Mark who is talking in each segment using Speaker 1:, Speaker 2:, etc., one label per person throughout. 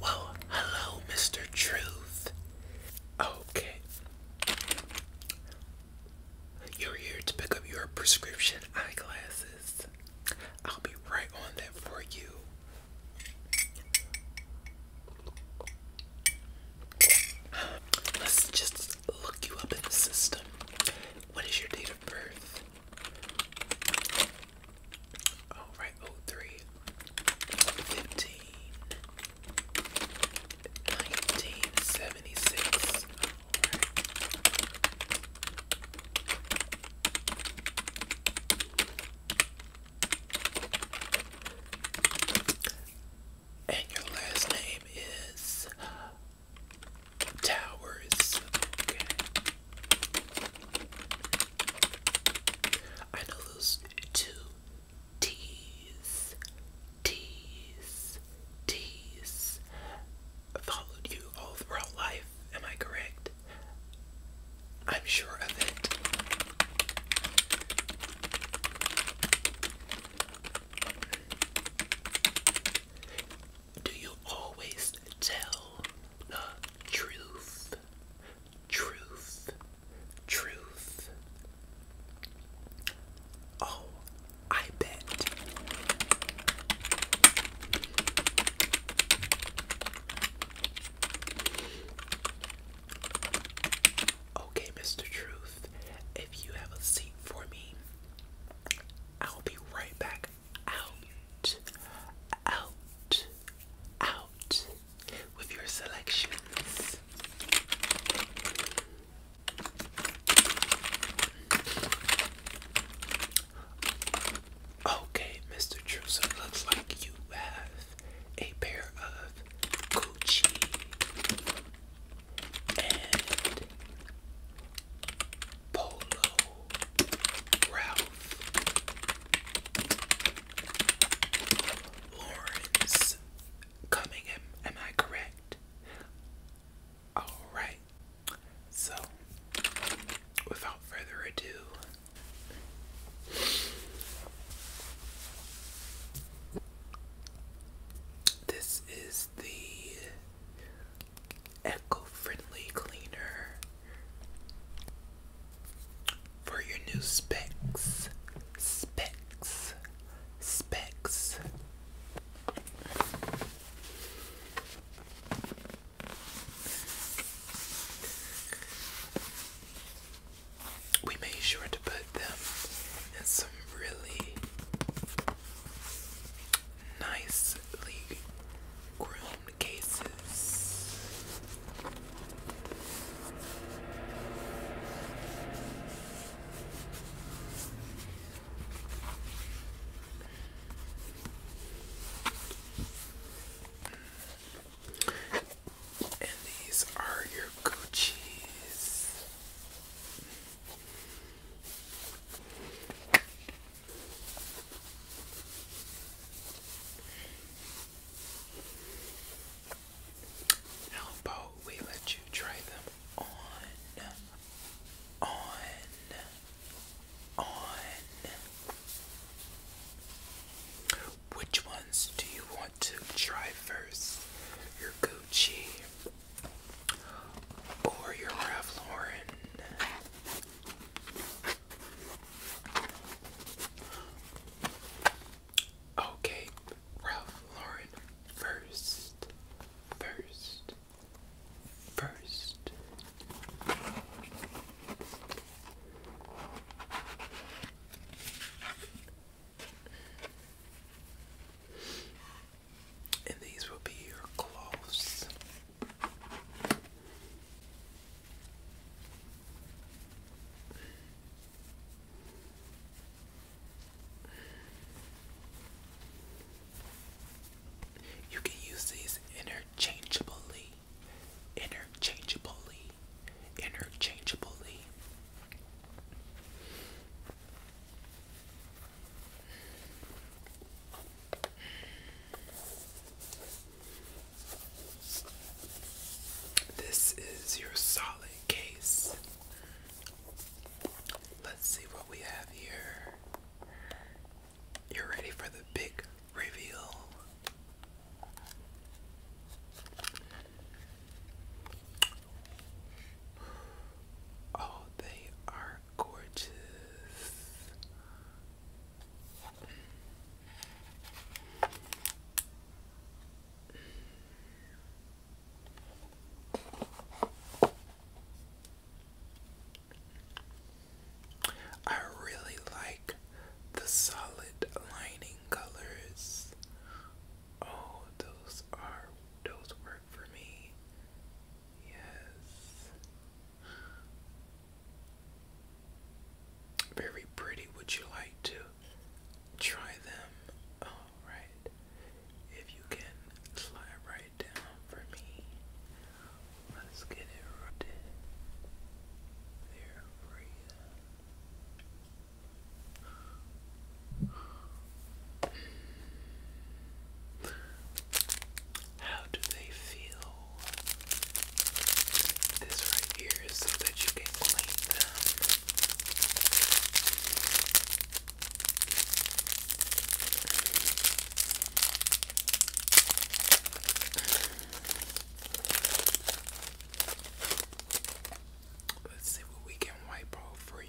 Speaker 1: Well, hello, Mr. Truth. Okay. You're here to pick up your prescription eyeglasses. I'll be right on that for you. Let's just look you up in the system. What is your date of birth? All oh, right, oh three, fifteen, nineteen seventy six. All right. And your last name is Towers. I know those two T's, T's, T's followed you all throughout life. Am I correct? I'm sure of it. Do you always tell uh, truth, truth, truth. Oh, I bet. Okay, Mr. Truth, if you have a seat for me, I'll be right back out, out, out with your selections. Okay, Mr. Truso, looks like you have a pair of Gucci and Polo Ralph Lawrence Coming, am I correct? Alright, so without further ado, this is the eco-friendly cleaner for your new specs specs specs we made sure to put them in some really nicely groomed cases. And these are your Gucci's. How we let you try them on, on, on? Which ones do you want to try first? Your Gucci or your Ralph Lauren? Okay, Ralph Lauren first, first, first. And these will be your clothes. You can use these interchangeably, interchangeably, interchangeably. This is your solid case. Let's see what we have here. You're ready for the big reveal. Oh, they are gorgeous. I really like the solid lining colors. Oh, those are those were work for me. Yes. Very pretty. Would you like to try them? Alright. If you can slide right down for me. Let's get it right there for you. How do they feel? This right here is so that you can clean them. Let's see what we can wipe off for you.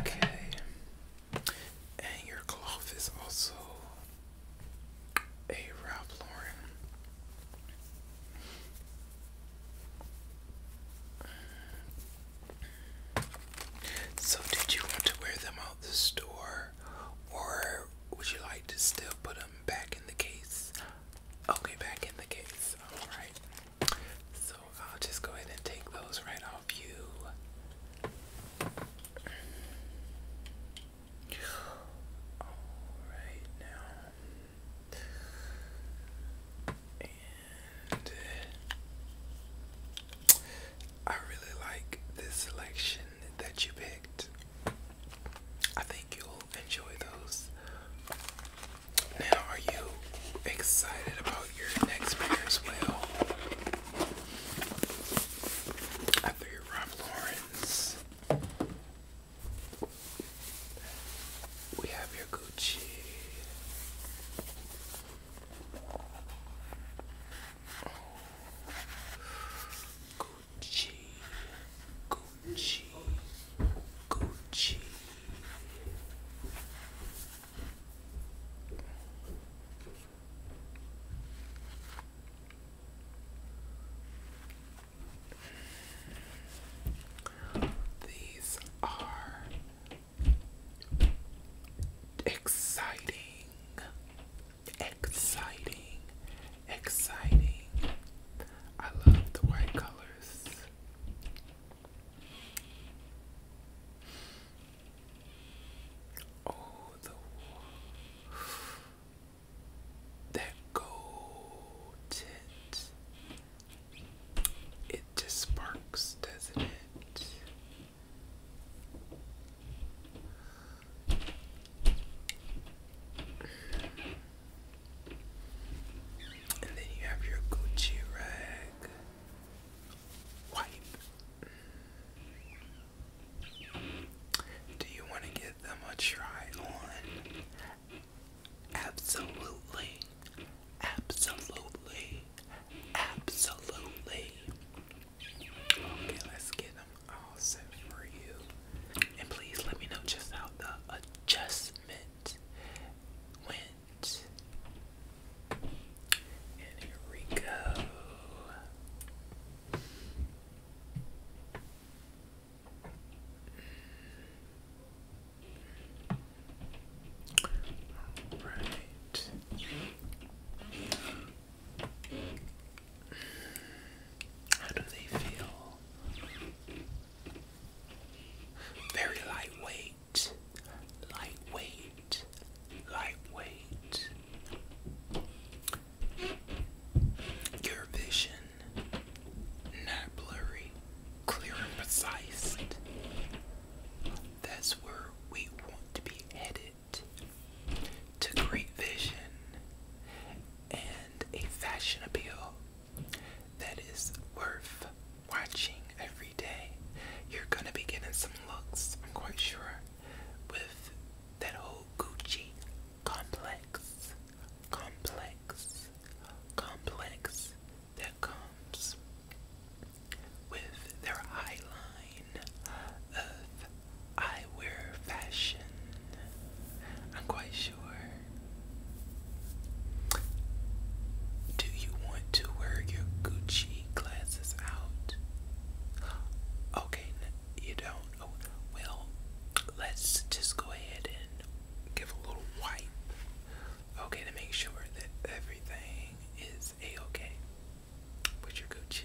Speaker 1: Okay. And your cloth is also a Ralph Lauren. So, did you want to wear them out the store, or would you like to still put them back in the case? Okay, back in the case. All right. So I'll just go ahead and take those right uh, I really like this selection that you picked. I think you'll enjoy those. Now, are you excited about out your next pair as well. I figured Ralph Lauren's. We have your Gucci. Gucci, Gucci, Gucci. These are exciting, exciting, exciting. I love the white colors. Oh, the that gold It just sparks, doesn't it? And then you have your Gucci rag. Do you want to give them a try on? Absolutely. Absolutely. Absolutely. Okay, let's get them all set for you. And please let me know just how the adjustment went. And here we go. All right. How do they feel? Very lightweight lightweight, lightweight, Your vision, not blurry, clear and precise. That's where we want to be headed to great vision and a fashion appeal that is worth watching every day. You're gonna be getting some looks, I'm quite sure, with that whole Gucci complex, complex, complex that comes with their high line of eyewear fashion. I'm quite sure do you want to wear your Gucci glasses out? Okay, you don't. Oh, well, let's just go ahead and give a little wipe. Okay, to make sure that everything is a-okay with your Gucci.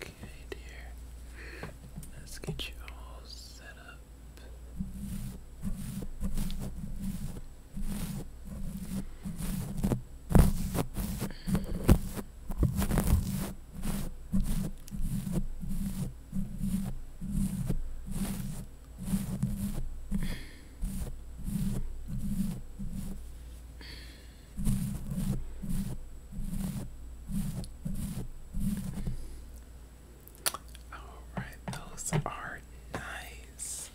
Speaker 1: Okay, dear. Let's get you all set up. Alright, those are nice.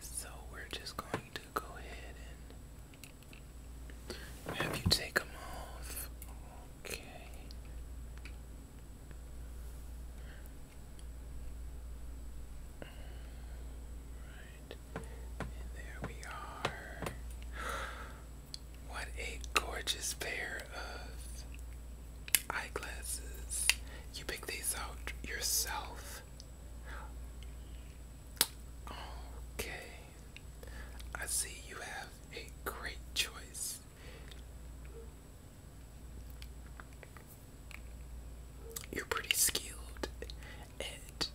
Speaker 1: So we're just going to go ahead and have you take them off. Okay. And there we are. What a gorgeous pair of eyeglasses. You picked these out yourself. Okay. I see you have a great choice you're pretty skilled at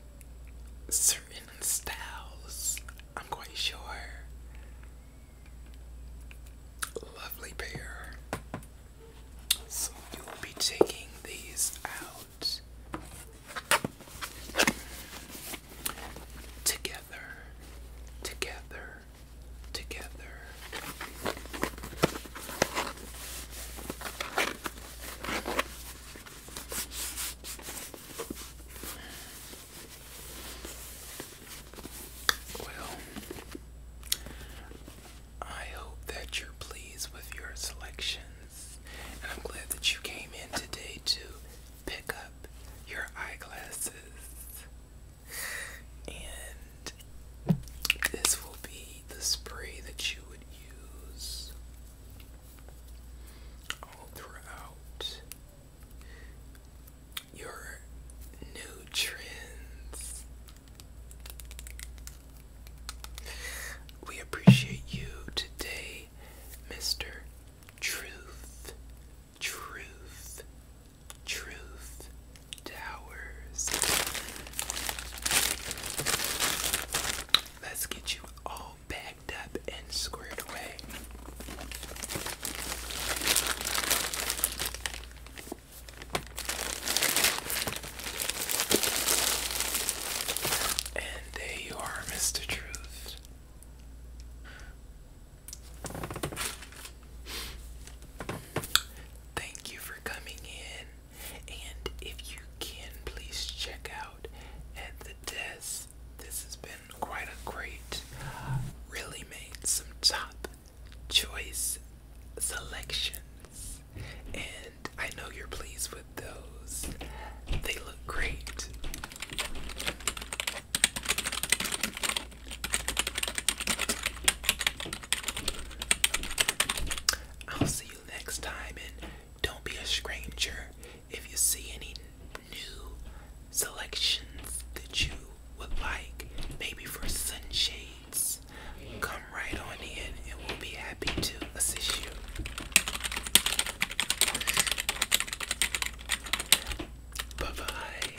Speaker 1: certain styles, I'm quite sure. Lovely pair. So you will be taking these out together, together, together. Well, I hope that you're pleased with your selections, and I'm glad that you came in today to pick up your eyeglasses. And this will be the spray that you would use all throughout your new We appreciate you today, Mr. Truth, Truth, Truth, Towers. Let's get you all backed up and squared away. And there you are, Mr. Truth. Thank you for coming in. And if you can, please check out at the desk. This has been quite a great, really made some top choice selections. And I know you're pleased with those, they look great. I'll see you next time, and don't be a stranger if you see any new selections that you would like, maybe for sunshades. Come right on in, and we'll be happy to assist you. Bye bye.